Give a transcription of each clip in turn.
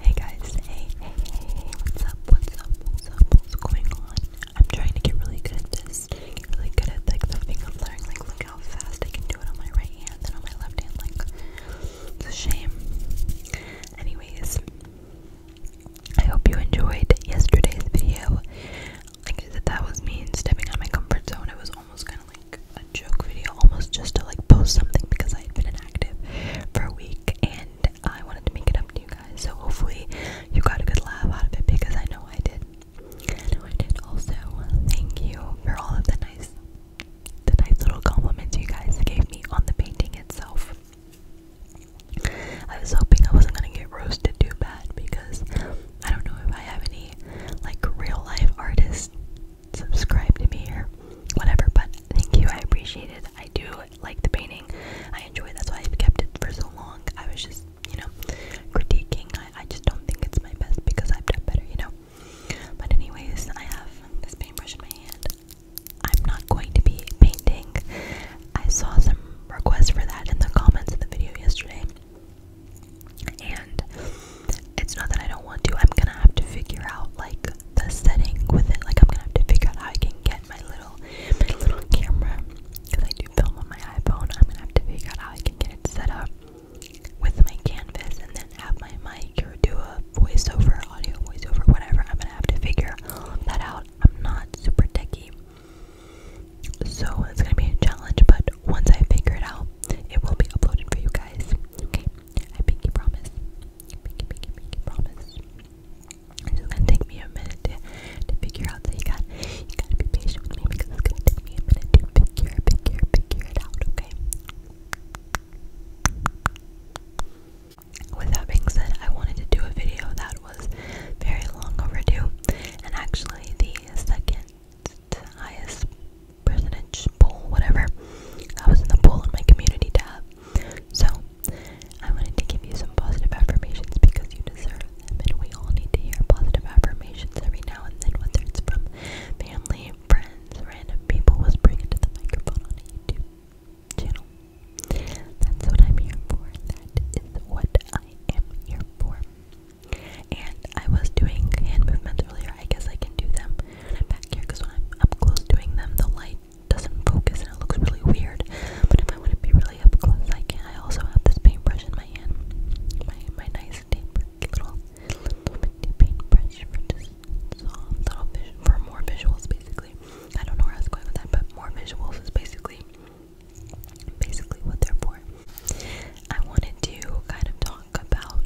Hey guys, hey, hey, hey, what's up, what's up, what's up, what's going on? I'm trying to get really good at this, get really good at like the finger flaring, like look how fast I can do it on my right hand and on my left hand, like, it's a shame. Anyways, I hope you enjoyed yesterday's video. Like I said, that was me stepping out my comfort zone, it was almost kind of like a joke video almost just to like post something because I had been inactive for a week and I wanted to make it up to you guys. So hopefully you got a good laugh out of it because I know I did. I I did. Also, thank you for all of the nice the nice little compliments you guys gave me on the painting itself. I was hoping I wasn't gonna get roasted too bad because I don't know if I have any like real life artists subscribe to me here, whatever, but thank you. I appreciate it. I do like the painting. I enjoy That's why I've kept it for so long. I was just, you know, critiquing. I, I just don't think it's my best because I've done better, you know. But anyways, I have this paintbrush in my hand. I'm not going to be painting. I saw some requests for that in the comments of the video yesterday. And it's not that I don't want to. I'm gonna have to figure out like the setting with it. Like I'm gonna have to figure out how I can get my little my little camera because I do film on my iPhone. I'm gonna have to figure out how I can get it set up with my canvas and then have my mic or do a voiceover, audio voiceover, whatever. I'm gonna have to figure that out. I'm not super techy, So it's gonna be a challenge, but once I figure it out, it will be uploaded for you guys. Okay. I pinky promise. Pinky, pinky, pinky promise. It's gonna take me a minute to, to figure out, so you got you gotta be patient with me because it's gonna take me a minute to figure, figure, figure it out, okay? With that being said, I wanted to do a video that was very long overdue, and actually the second highest percentage whatever. I was in the poll on my community tab. So, I wanted to give you some positive affirmations because you deserve them, and we all need to hear positive affirmations every now and then, whether it's from family, friends, random people whispering into the microphone on a YouTube channel. That's what I'm here for. That is what I am here for. And I was doing hand movements earlier. I guess I can do them back here because when I'm up close doing them, the light doesn't focus and it looks really weird. But if I want to be really up close, I can. I also have this paintbrush in my hand, my my nice tape, little little paintbrush for just little for more visuals, basically. I don't know where I going with that, but more visuals is basically basically what they're for. I wanted to kind of talk about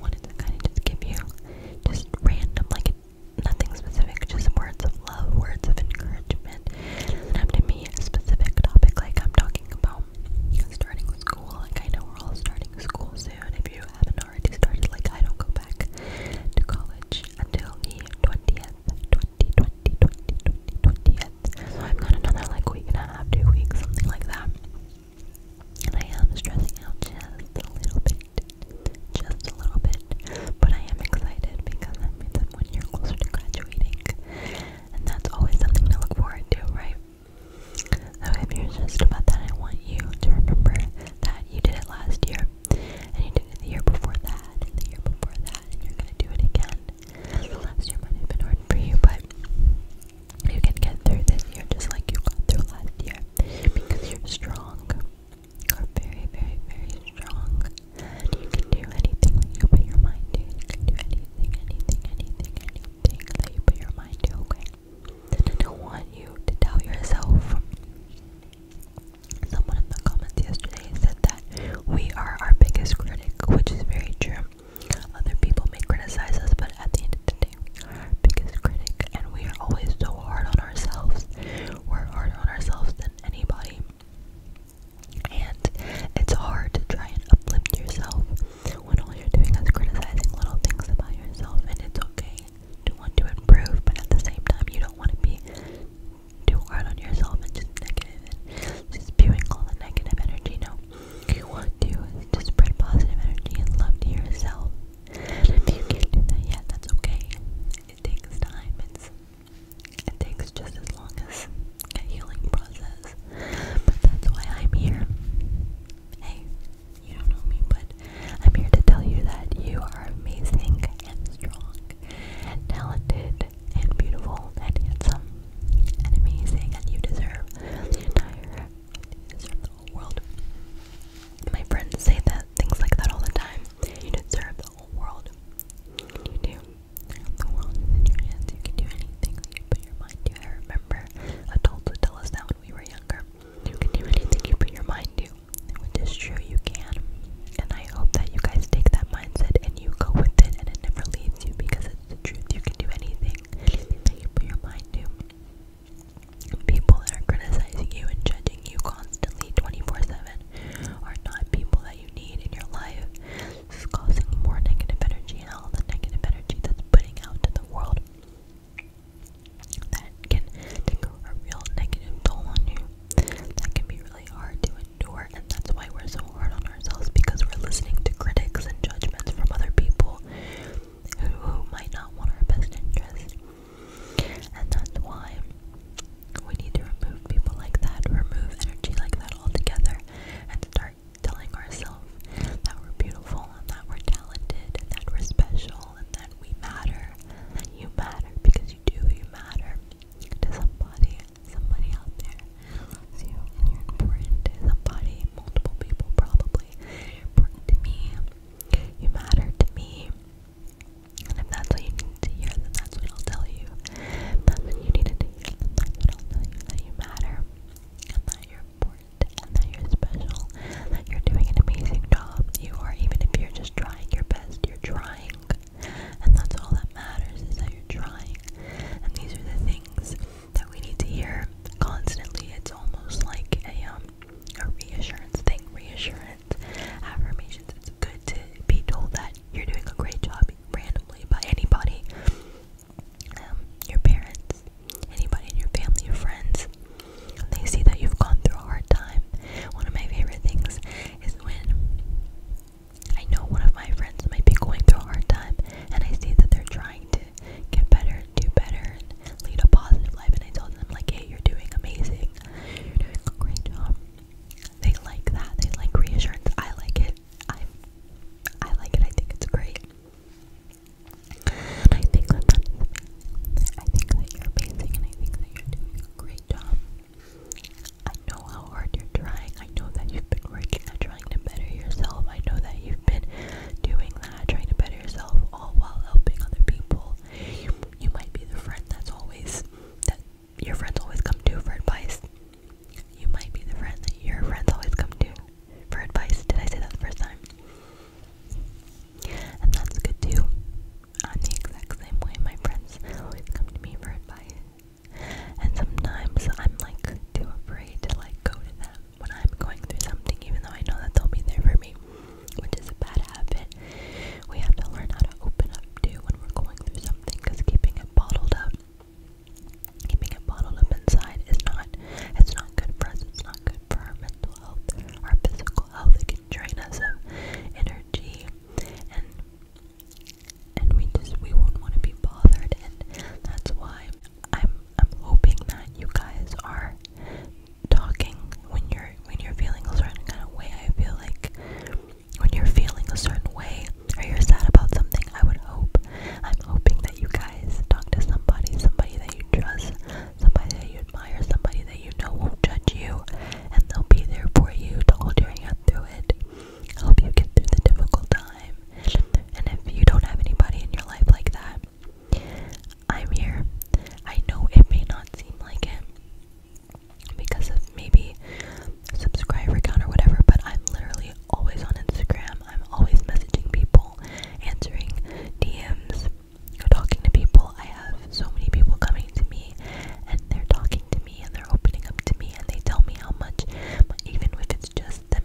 wanted to kind of just give you just random, like nothing specific, just words of love, words of encouragement. And have to me a specific topic, like I'm talking about starting school. Like I know we're all starting school soon. If you haven't already started, like I don't go back to college until the twentieth, twenty twenty twenty twenty twentieth. So I've got another like week and a half, two weeks, something like that. And I am stressing out just a little bit. Just a little bit. But I am excited because that means I'm one year closer to graduating. And that's always something to look forward to, right? So if you're stressed about that, I want you to remember that you did it last year. And you did it the year before that, and the year before that, and you're gonna do it again. last year might have been hard for you, but you can get through this year just like you got through last year because you're strong. You're very, very, very strong. And you can do anything that you put your mind to. You can do anything, anything, anything, anything that you put your mind to, okay? And I don't want you to doubt yourself. Someone in the comments yesterday said that we are our biggest critic, which is very true. Other people may criticize us, but at the end of the day, we're our biggest critic, and we are always so hard on ourselves. We're harder on ourselves than anybody. And it's hard to try and uplift yourself when all you're doing is criticizing little things about yourself, and it's okay to want to improve, but at the same time, you don't want to be too hard on yourself and just negative and just spewing all the negative energy. No, you want to is to spread positive energy and love to yourself. And if you can't do that yet, that's okay. It takes time. It's it takes just as long as a healing process. But that's why I'm here. Hey, you don't know me, but I'm here to tell you that you are amazing and strong and talented and beautiful and handsome and amazing and you deserve the entire you whole world. My friends say that things like that all the time. You deserve the whole world. You do. The world is in your hands. You can do anything that you put your mind to. I remember adults would tell us that when we were younger. You can do anything you put your mind to. Which is true, you can. And I hope that you guys take that mindset and you go with it and it never leaves you because it's the truth. You can do anything, anything that you put your mind to. People that are criticizing you and judging you constantly 24 7 are not people that you need in your life. This is causing more negative energy and all the negative energy that's putting out to the world that can take a real negative toll on you. That can be really hard to endure, and that's why we're so hard on ourselves because we're listening to critics and judgments from other people who, who might not want our best interest. And that's why we need to remove people like that, remove energy like that altogether, and start telling ourselves that we're beautiful and that we're talented and that we're special and that we matter, that you matter because you do, you matter to somebody, somebody out there loves you and you're important to somebody, multiple people probably really important to me. You matter to me. And if that's what you need to hear, then that's what I'll tell you. If that's what you needed to hear, then that's what I'll tell you. That you matter. And that you're important. And that you're special. And that you're doing an amazing job. You are, even if you're just trying your best, you're trying. And that's all that matters is that you're trying. And these are the things that we need to hear constantly. It's almost like a um a reassurance thing, reassurance, affirmations. It's good to be told that you're doing a great job randomly by anybody. Um, your parents, anybody in your family, your friends. They see that you've gone through a hard time. One of my favorite things is when I know one of my friends might be going through a hard time and I see that they're trying to get better, do better, and lead a positive life. And I told them, like, hey, you're doing amazing. You're doing a great job. They like that. They like reassurance. I like it. I, I like it. I think it's great. I think that that's amazing. I think that you're amazing, and I think that you're doing a great job. I know how hard you're trying. I know that you've been working at trying to better yourself. I know that you've been doing that trying to better yourself, all while helping other people. You, might be the friend that's always that your friends always come to for advice. You might be the friend that your friends always come to for advice. Did I say that the first time? And that's good too. i the exact same way. My friends always come to me for advice. And sometimes I'm like too afraid to like go to them when I'm going through something, even though I know that they'll be there for me, which is a bad habit. We have to learn how to open up to when we're going through something because keeping it bottled up, keeping it bottled up inside is not, it's not good for us, it's not good for our mental health, our physical health, it can drain us of energy and and we just we won't want to be bothered and that's why I'm I'm hoping that you guys are talking when you're when you're feeling a certain way. I feel like when you're feeling a certain way or you're sad about something, I would hope I'm hoping that you guys talk to somebody, somebody that you trust, somebody that you admire, somebody that you know won't judge you and they'll be there for you to hold your hand through it. I hope you get through the difficult time. And if you don't have anybody in your life like that, I'm here. I know it may not seem like it because of maybe subscriber count or whatever, but I'm literally always on Instagram. I'm always messaging people, answering DMs, talking to people. I have so many people coming to me and they're talking to me and they're opening up to me and they tell me how much, even if it's just them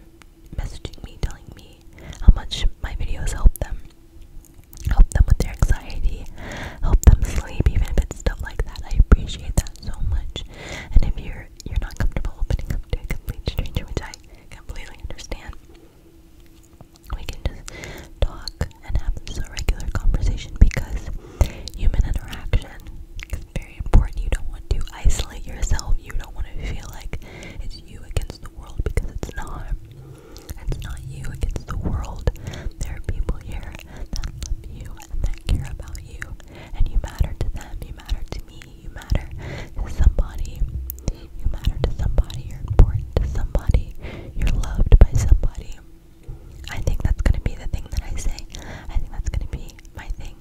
messaging me, telling me how much my videos help them. Help them with their anxiety, help them sleep, even if it's stuff like that. I appreciate that so much. And if you're you're not comfortable opening up to a complete stranger, which I completely understand, we can just talk and have this a regular conversation because human interaction is very important. You don't want to isolate yourself. You don't want to feel like it's you against the world because it's not. It's not you against the world. There are people here that love you and that care about you, and you matter to them. You matter to me. You matter to somebody. You matter to somebody. You're important to somebody. You're loved by somebody. I think that's gonna be the thing that I say. I think that's gonna be my thing.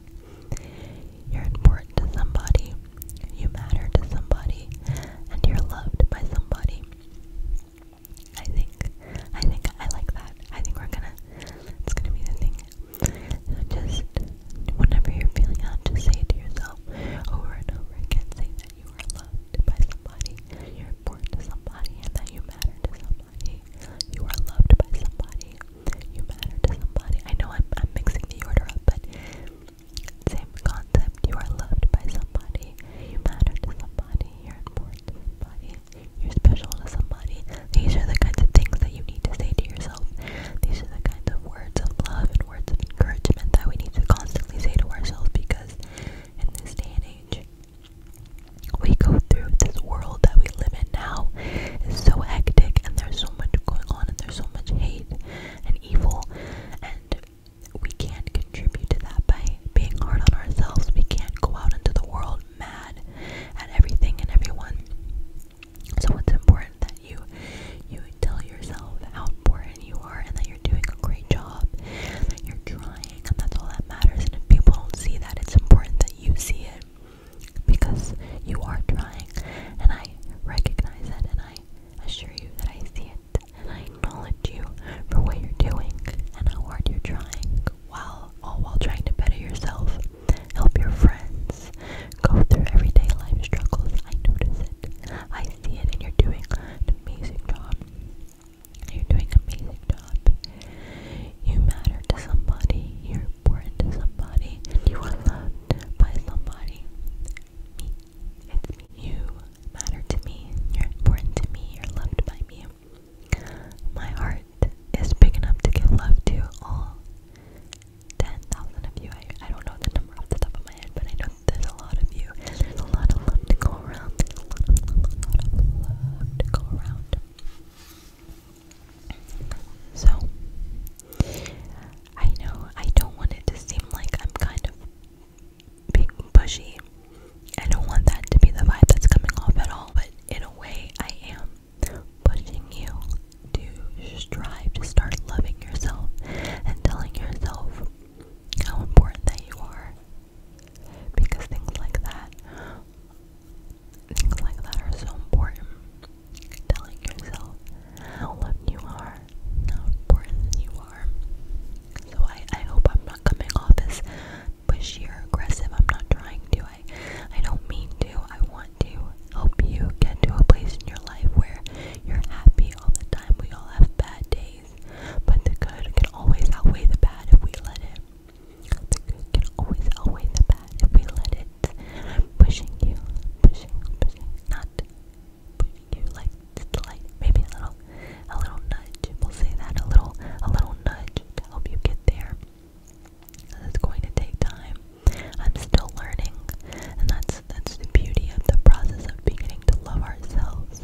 You're important to somebody, you matter to somebody, and you're loved by somebody. I think, I think I like that. I think we're gonna, it's gonna be the thing. So just, whenever you're feeling out, just say to yourself over and over again, say that you are loved by somebody, you're important to somebody, and that you matter to somebody. You are loved by somebody, you matter to somebody. I know I'm, I'm mixing the order up, but same concept, you are loved by somebody, you matter to somebody, you're important to somebody, you're special to somebody. These are the kinds of things that you need to say to yourself. These are the kinds of words of love and words of encouragement that we need to constantly say to ourselves because in this day and age, we go through this world that we live in now is so hectic and there's so much going on and there's so much hate and evil, and we can't contribute to that by being hard on ourselves. We can't go out into the world mad at everything and everyone. So it's important that you you tell yourself how important you are and that you're doing a great job, that you're trying, and that's all that matters. And if people don't see that, it's important that you see it because you are trying and I recognize it and I I assure you that I see it, and I acknowledge you for what you're doing and how hard you're trying, while all while trying to better yourself, help your friends, go through everyday life struggles. I notice it. I see it, and you're doing an amazing job. You're doing an amazing job. You matter to somebody. You're important to somebody. and You are loved by somebody me. It's You matter to me. You're important to me. You're loved by me. My heart is big enough to give love to all 10,000 of you. I, I don't know the number off the top of my head, but I know there's a lot of you. There's a lot of love to go around. a lot of love to go around. So, I know I don't want it to seem like I'm kind of being pushy. I don't want that to be the vibe that's coming off at all, but in a way, I am pushing you to strive to start loving yourself and telling yourself how important that you are. Because things like that, things like that are so important telling yourself how loved you are, how important you are. So I, I hope I'm not coming off as pushy or aggressive. I'm not trying to. I I don't mean to. I want to help you get to a place in your life where you're happy all the time. We all have bad days, but the good can always outweigh the bad if we let it. The good can always outweigh the bad if we let it pushing you, pushing, pushing, not pushing you like just like maybe a little, a little nudge. We'll say that a little, a little nudge to help you get there. It's going to take time. I'm still learning, and that's that's the beauty of the process of beginning to love ourselves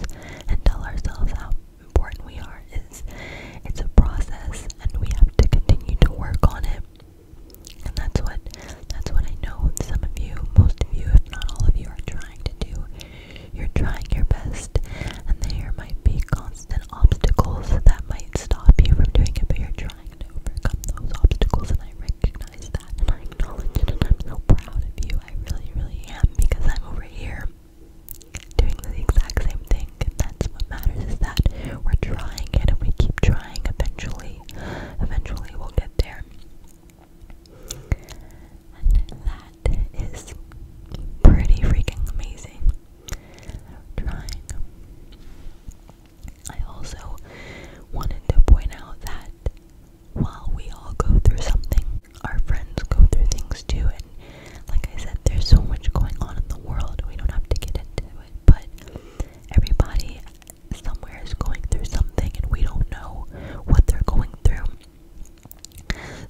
and tell ourselves how important we are. Is it's a process, and we have to continue to work on it. And that's what that's what I know some of you, most of you, if not all of you, are trying to do. You're trying your best, and there might be constant obstacles that might stop you from doing it, but you're trying to overcome those obstacles, and I recognize that, and I acknowledge it, and I'm so proud of you. I really, really am, because I'm over here doing the exact same thing, and that's what matters, is that we're trying it, and we keep trying eventually eventually we'll get there. And that is pretty freaking amazing. trying. I also wanted to point out that while we all go through something, our friends go through things too. And like I said, there's so much going on in the world, we don't have to get into it. But everybody somewhere is going through something and we don't know what they're going through.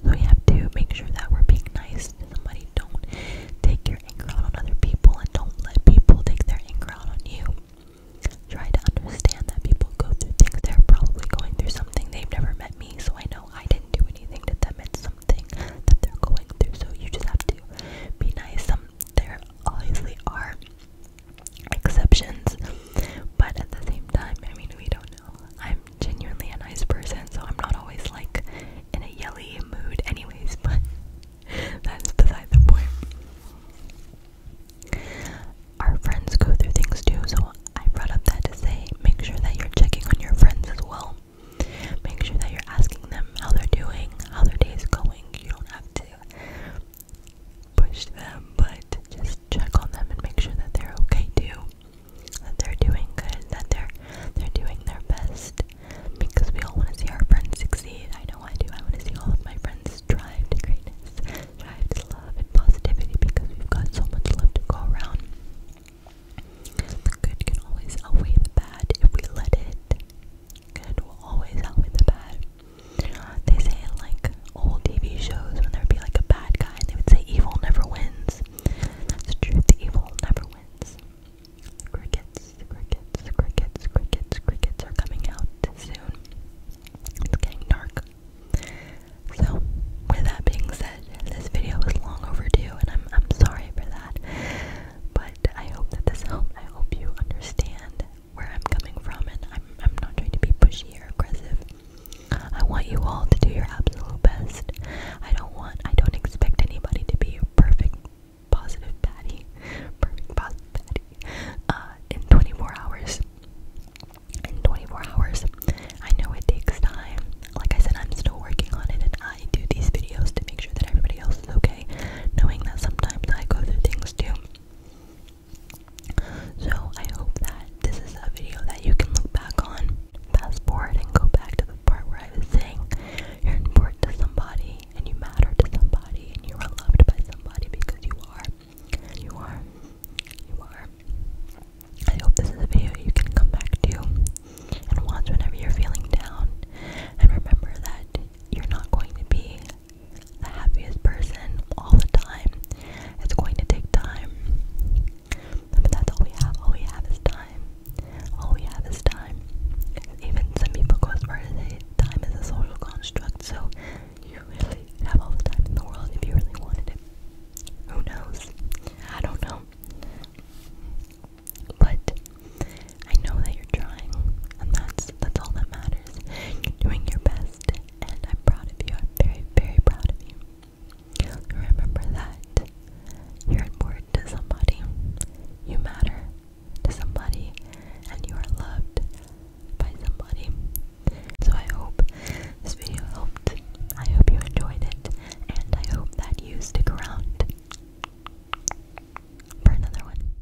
So we have to make sure that we're being nice to somebody. Don't take your anger out on other people and don't let people take their anger out on you. Try to understand that people go through things. They're probably going through something. They've never met me, so I know I didn't do anything to them. It's something that they're going through. So you just have to be nice. Some there obviously are exceptions, but at the same time, I mean, we don't know. I'm genuinely a nice person, so I'm not always like in a yelly mood, anyways, but that's beside the point. Our friends go through things too, so I brought up that to say make sure that you're checking on your friends as well. Make sure that you're asking them how they're doing, how their days going. You don't have to push them, but just check on them and make sure that they're okay too, that they're doing good, that they're they're doing their best. Because we all want to see our friends succeed. I know I do. I want to see all of my friends strive to greatness, strive to love and positivity because we've got so much love to go around. The good can always outweigh the bad if we let it. Good will always outweigh the bad. They say like old TV shows when there would be like a bad guy and they would say evil never wins. That's true, the evil never wins. crickets, crickets, crickets, crickets, crickets are coming out soon. It's getting dark. So, with that being said, this video was long overdue and I'm I'm sorry for that. But I hope that this helped. I hope you understand where I'm coming from, and I'm, I'm not trying to be pushy or aggressive. I want you all to do your absolute best. I don't want, I don't expect anybody to be perfect, positive Patty, perfect positive daddy, uh, in 24 hours. In 24 hours. I know it takes time. Like I said, I'm still working on it, and I do these videos to make sure that everybody else is okay, knowing that sometimes I go through things too. So I hope that this is a video that you can look back on, fast forward and go back to the part where I was saying you're important to somebody and you matter to somebody and you are loved by somebody because you are. You are. You are. I hope this is a video you can come back to and watch whenever you're feeling down and remember that you're not going to be the happiest person all the time. It's going to take time. But that's all we have. All we have is time. All we have is time. Even some people go as time is a social construct, so you really have all the time in the world if you really wanted it. Who knows? I don't know. But I know that you're trying, and that's that's all that matters. You're doing your best, and I'm proud of you. I'm very, very proud of you. Remember that you're important to somebody. You matter to somebody, and you are loved by somebody. So I hope this video helped. I hope you enjoyed it, and I hope that you stick around for another one.